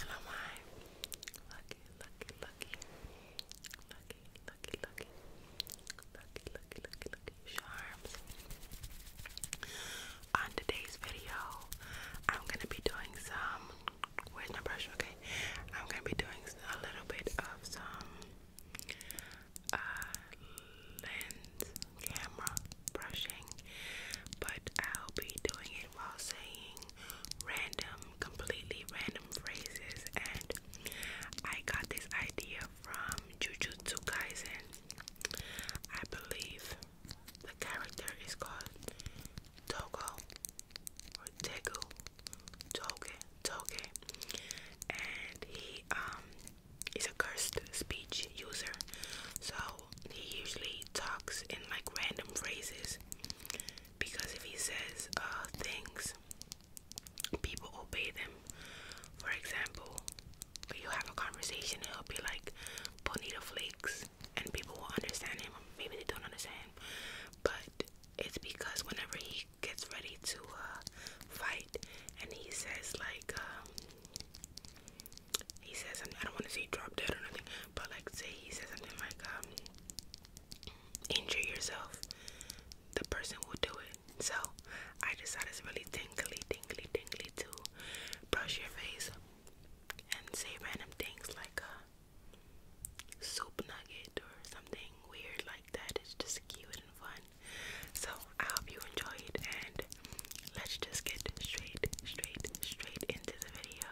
And am I lucky, lucky, lucky, lucky, lucky, lucky, lucky, lucky, charms? On today's video, I'm gonna be doing some. Where's my brush? Okay, I'm gonna be doing a little bit of some uh, lens camera brushing, but I'll be doing it while saying random, completely random phrases. And I got this idea from Jujutsu Kaisen. I believe the character is called Togo or Tegu, Toge, Toge, and he um He's a cursed speech user, so he usually talks in like random phrases. Because if he says uh, things, people obey them. For example, you have a conversation, it'll be like bonita flakes, and people will understand him. Maybe they don't understand but it's because whenever he gets ready to uh, fight, and he says like um, he says I don't want to say drop dead or nothing, but like say he says something like, um, injure yourself, the person will do it. So I decided it's really tingly, tingly, tingly to brush your face and say random things like a uh, soup nugget or something weird like that. It's just cute and fun. So I hope you enjoy it, and let's just get straight, straight, straight into the video.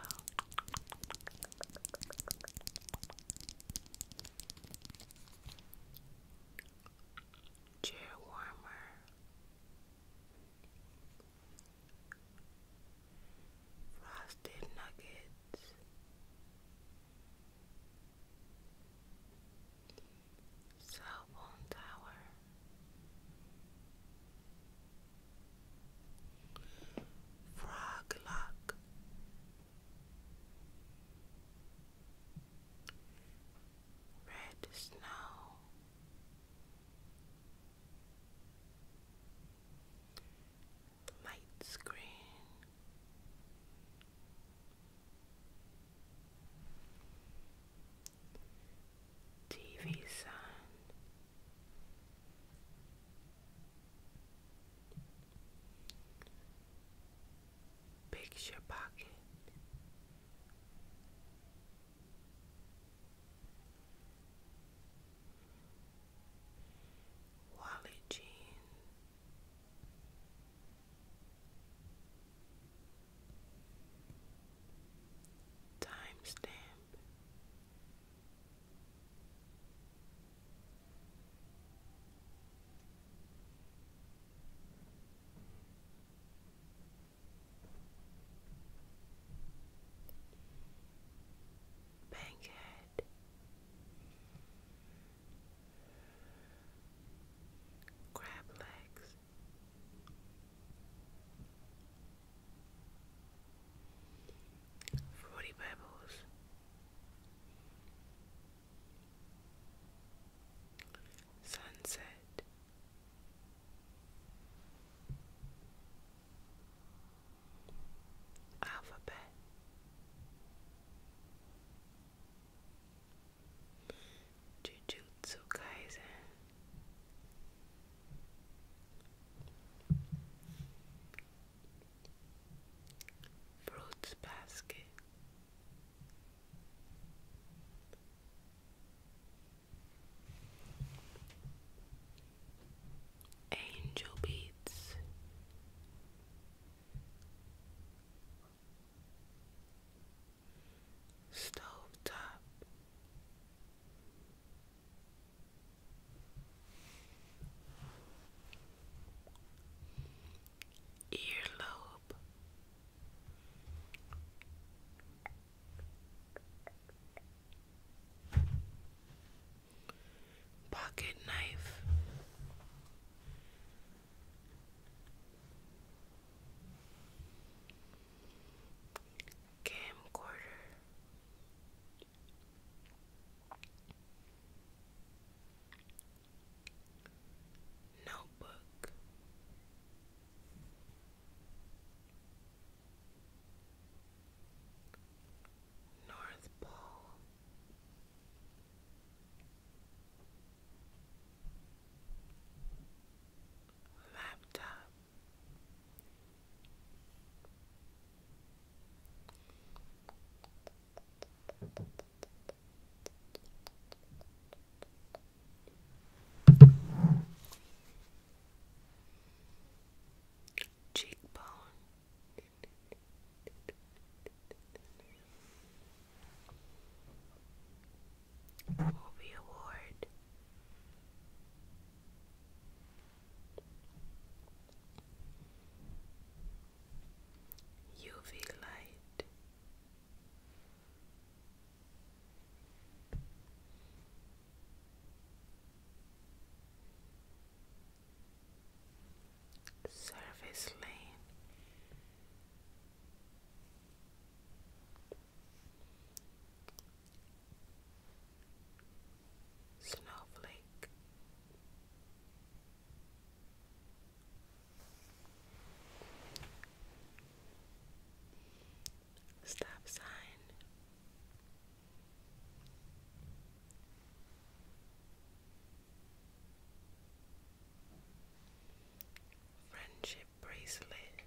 Chair warmer. Frosted nuggets cell phone tower. Frog Red snow. Light screen. TV Sun. Picture Pocket. Wallet Jean Timestamp. Bankhead Crab legs Forty Pebbles. Sunset. Alphabet Jujutsu Kaisen. Fruits basket. Angel beats stove top. Earlobe Pocket knife camcorder notebook North Pole laptop cheekbone Movie Award. UV light. Service lane. Snowflake Stop sign Friendship bracelet.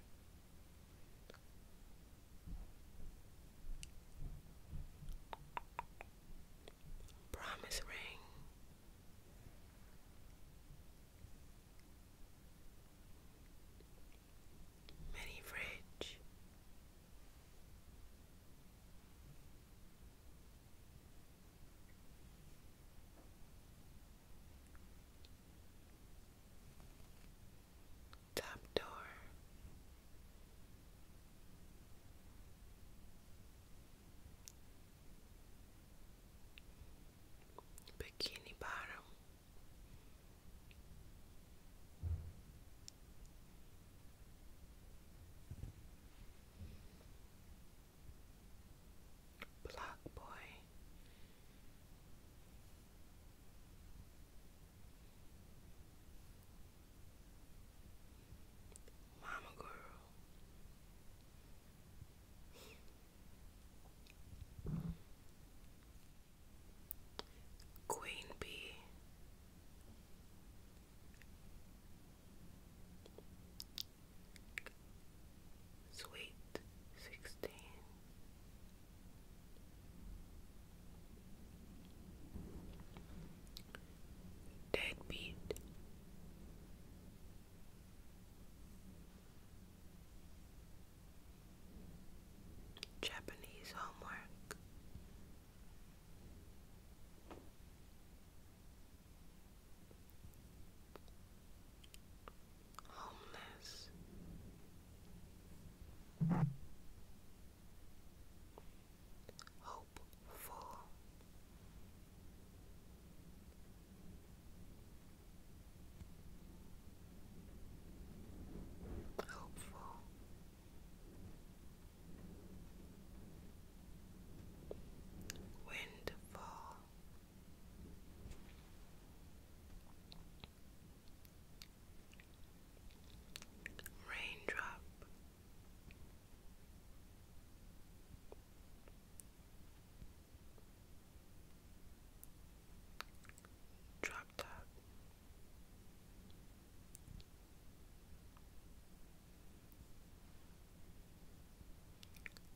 Promise ring. Mini fridge. Top door. Bikini bottom. Block Boy. Mama Girl. Queen Bee Sweet sixteen. Deadbeat. Japanese homework homeless. Hopeful, hopeful, Windfall Raindrop Drop top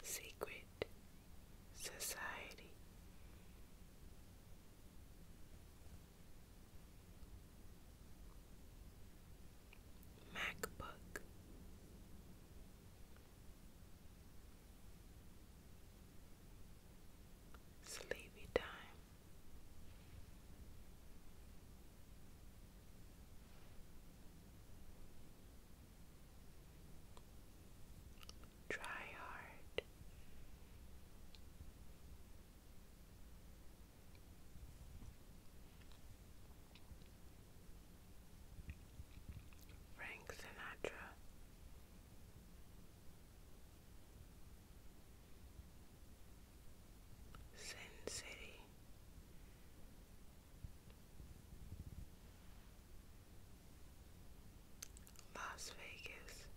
Secret Society. MacBook Sleepy Time Try hard. Frank Sinatra. Sin City. Las Vegas.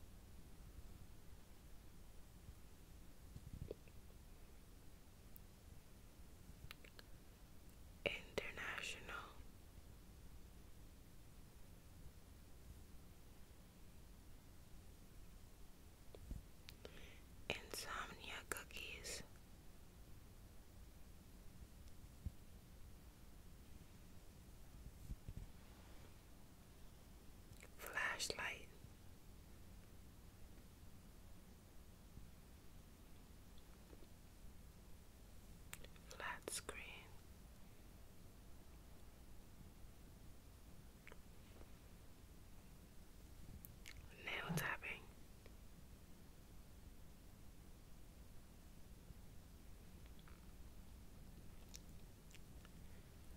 International Insomnia cookies. Flashlight. Flat screen nail tapping.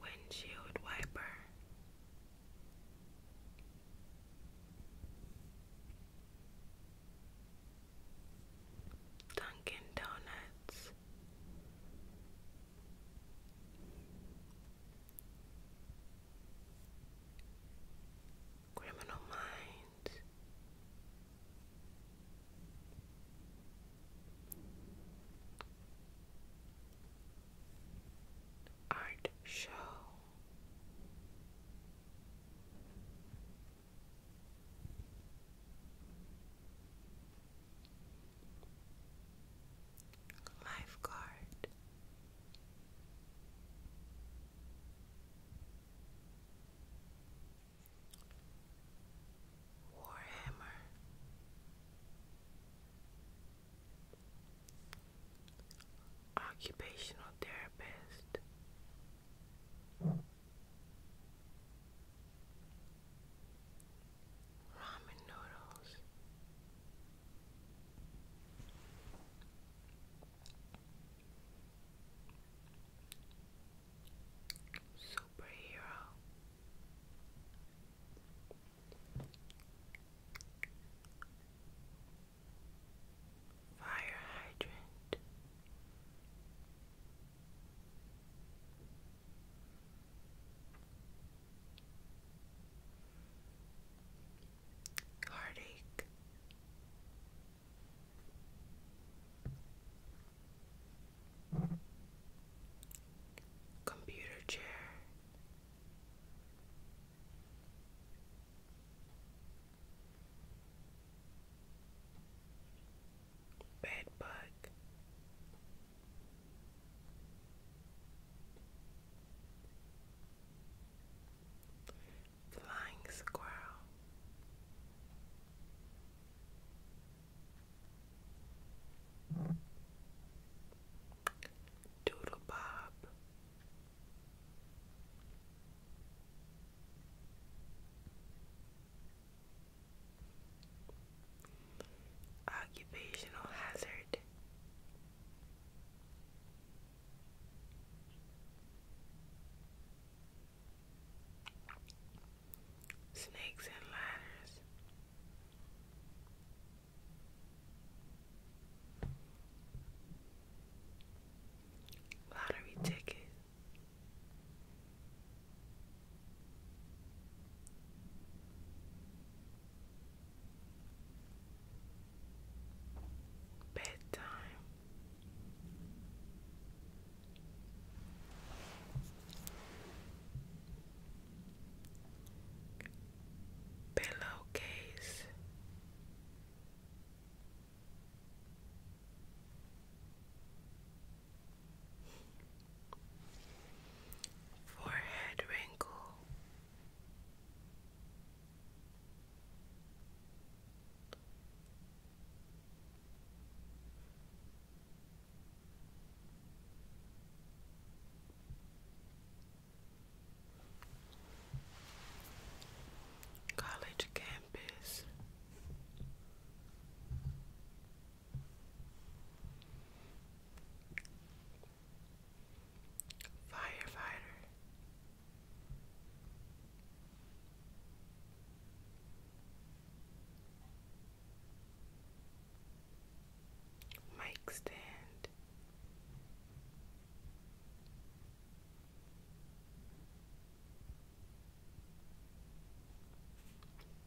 Windshield wiper. Dunkin' Donuts. Criminal Minds. Art Show lifeguard. Warhammer Occupational Therapist Ramen Noodles Superhero Fire Hydrant heartache. Computer chair, bed bug, Flying squirrel. Doodle Bob. Occupational hazard. Snakes and ladders. Lottery ticket. Bedtime. Pillowcase forehead wrinkle, college campus. Firefighter. Mic stand.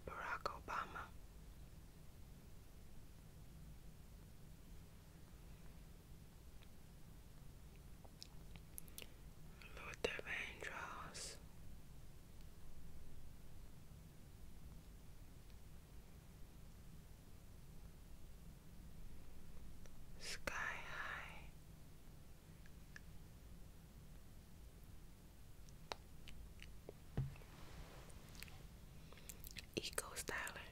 Barack Obama. Lord of Sky high, Eco styler.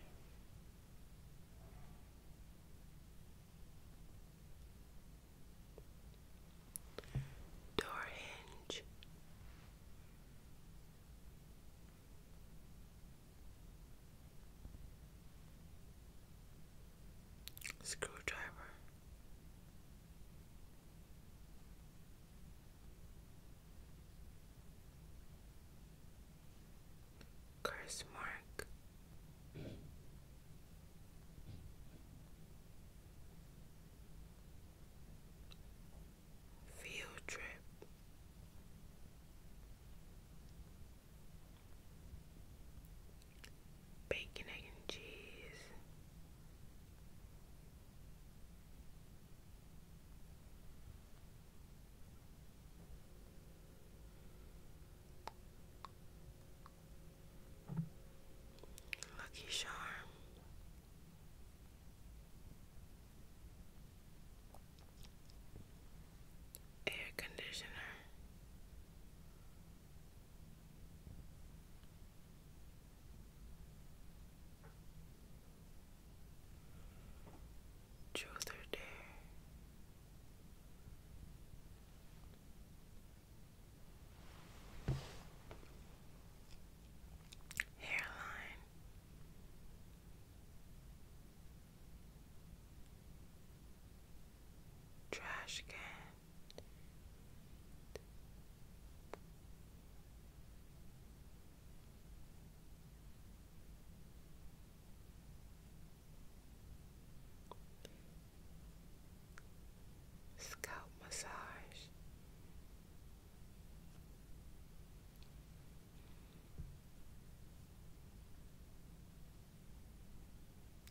Door hinge. Screwdriver. Curse mark. Field trip. Bacon, egg, and cheese. Lucky Charm. Air conditioner, Truth Hairline. Trash can. Scalp massage.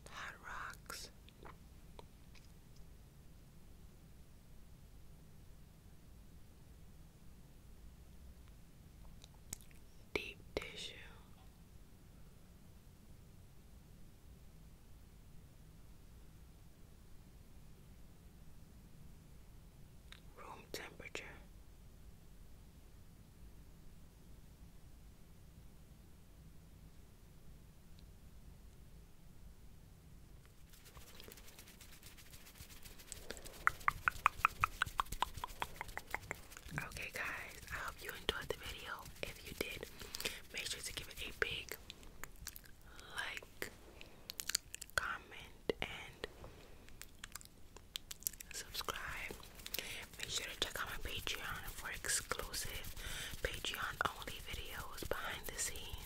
Hot rocks. Deep tissue. Room temperature. Okay, guys, I hope you enjoyed the video. If you did, make sure to give it a big like, comment, and subscribe. Make sure to check out my Patreon for exclusive Patreon only videos behind the scenes